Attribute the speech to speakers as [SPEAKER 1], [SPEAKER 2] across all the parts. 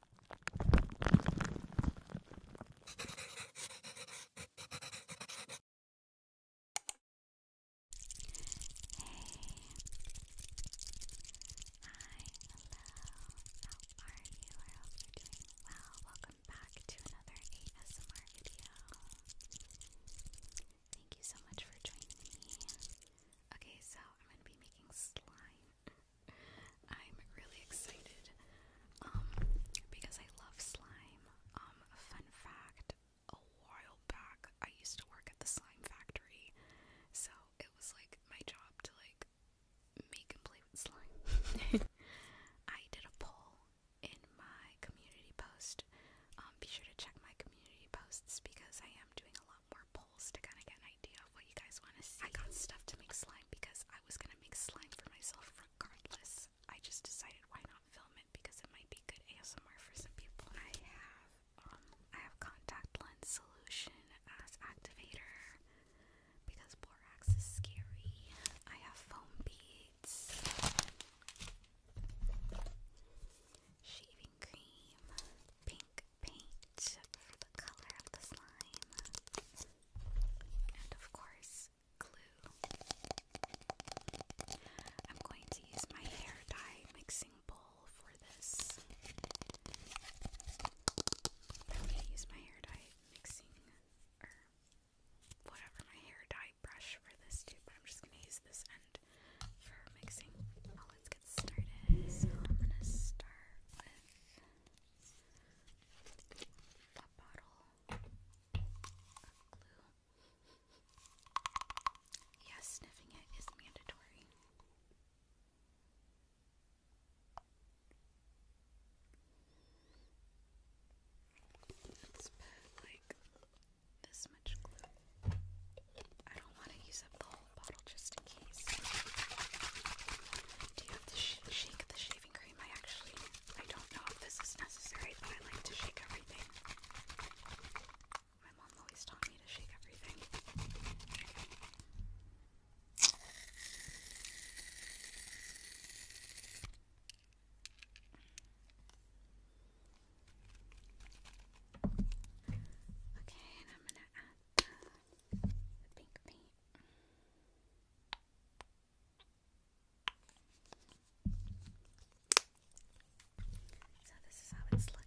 [SPEAKER 1] well. Welcome back to another ASMR video. Thank you so much for joining me. Okay, so I'm gonna be making slime. I'm really excited um, because I love slime. Um, fun fact, a while back I used to work at the slime factory, so it was like my job to like make and play with slime. I did a poll in my community post. Um, be sure to check my community posts because I am doing a lot more polls to kind of get an idea of what you guys want to see. I got stuff to make slime because I I was gonna make slime for myself regardless. I just decided why not film it because it might be good ASMR for some people. I have um, I have contact lens solution as activator because borax is scary. I have foam beads, shaving cream, pink paint for the color of the slime, and of course, glue. I'm going to use my hair dye mixing bowl for this. I'm going to use my hair dye mixing, or whatever, my hair dye brush for this too, but I'm just going to use this end for mixing. Now oh, let's get started. So I'm going to start with a bottle of glue. Yes, sniffing it is mandatory. Let's like this much glue. I don't want to use up the whole bottle just in case. Do you have to sh shake the shaving cream? I actually, I don't know if this is necessary, but I like to shake everything. My mom always taught me to shake everything. Okay, and I'm gonna add the pink So this is how it's looking.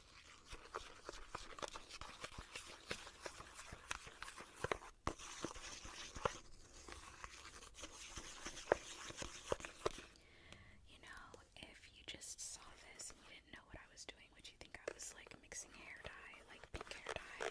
[SPEAKER 1] You know, if you just saw this and you didn't know what I was doing, would you think I was like mixing hair dye, like pink hair dye?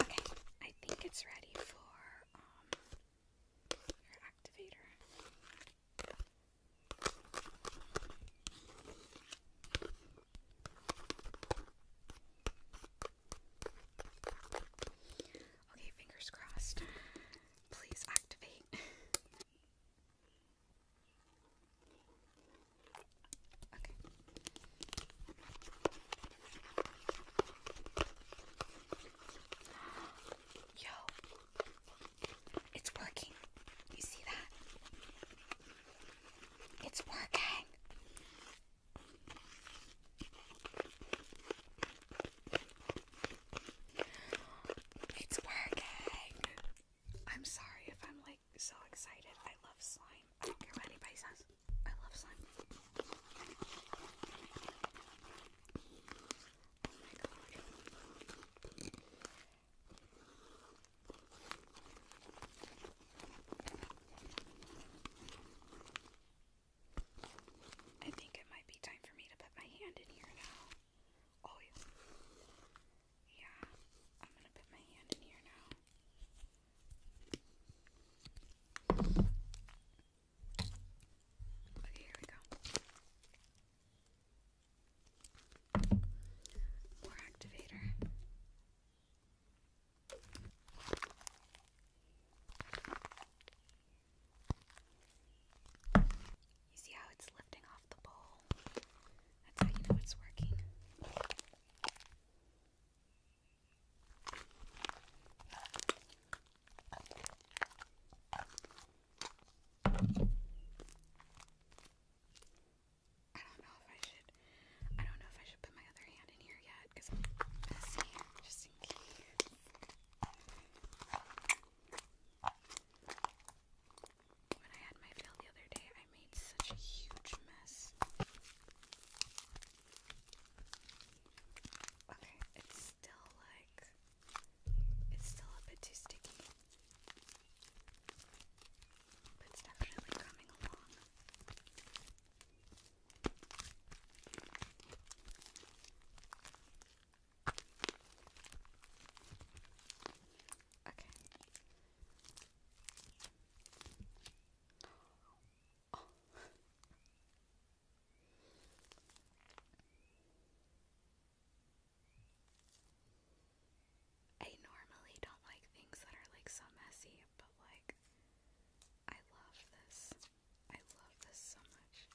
[SPEAKER 1] Okay, I think it's ready for um, your activator. Okay, fingers crossed. Please activate. Yo, it's working. You see that? It's working. It's working. I'm sorry if I'm late like so excited. I love slime. I don't care what anybody says. I love slime. Oh I think it might be time for me to put my hand in here now. Oh yeah. Yeah, I'm gonna put my hand in here now. Okay, here we go. More activator. You see how it's lifting off the bowl? That's how you know it's working. I don't know if I should. I don't know if I should put my other hand in here yet because messy just in case. When I had my fill the other day, I made such a huge mess. Okay, it's still like it's still a bit too sticky. But it's definitely coming along. Okay. Oh. I normally don't like things that are like so messy, but like I love this. I love this so much.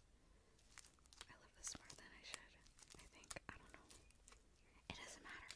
[SPEAKER 1] I love this more than I should. I think I don't know. It doesn't matter.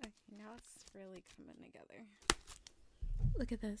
[SPEAKER 1] Okay, now it's really coming together. Look at this.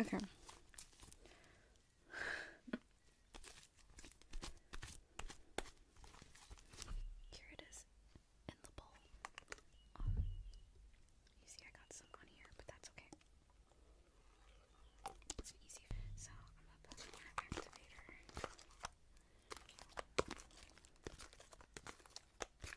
[SPEAKER 1] Okay. Here it is in the bowl. Oh, you see, I got some on here, but that's okay. It's easy. So I'm gonna activator. Theater.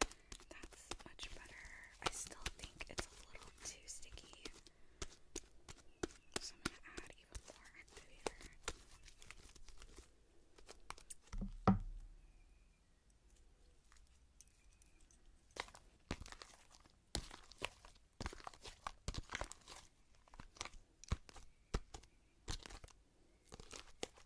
[SPEAKER 1] That's much better. I still think it's a little too sticky. So I'm going to add even more activator.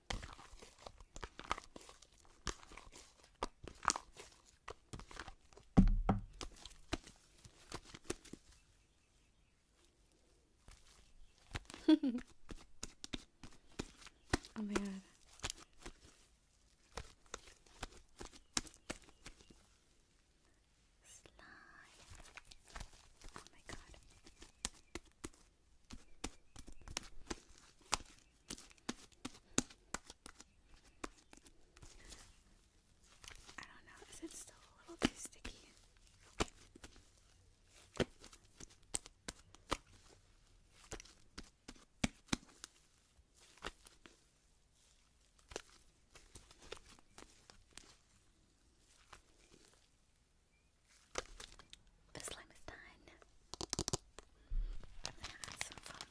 [SPEAKER 1] oh my god. Slime. Oh my god. I don't know, is it still a little too sticky? The slime is done. I'm gonna add some foam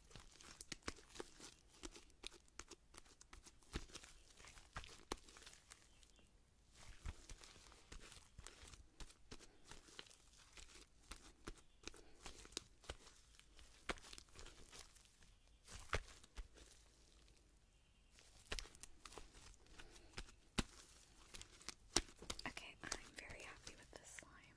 [SPEAKER 1] Okay, I'm very happy with this slime.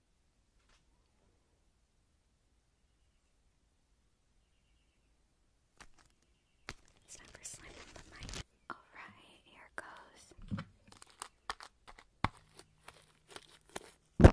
[SPEAKER 1] It's time for slamming the mic. Alright, here goes.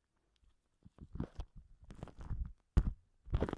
[SPEAKER 1] ice cream melting from a cone.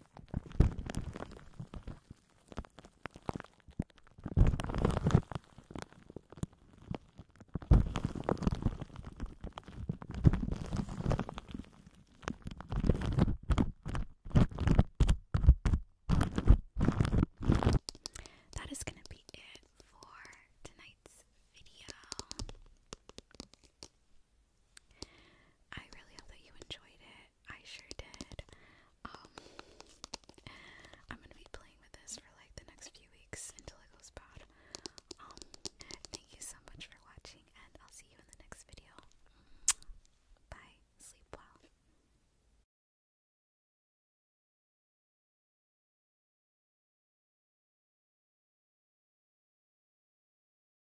[SPEAKER 1] That is going to be it for tonight's video. I really hope that you enjoyed it. I sure did. Um, I'm gonna be playing with this for like the next few weeks until it goes bad. Um, thank you so much for watching, and I'll see you in the next video. Bye. Sleep well.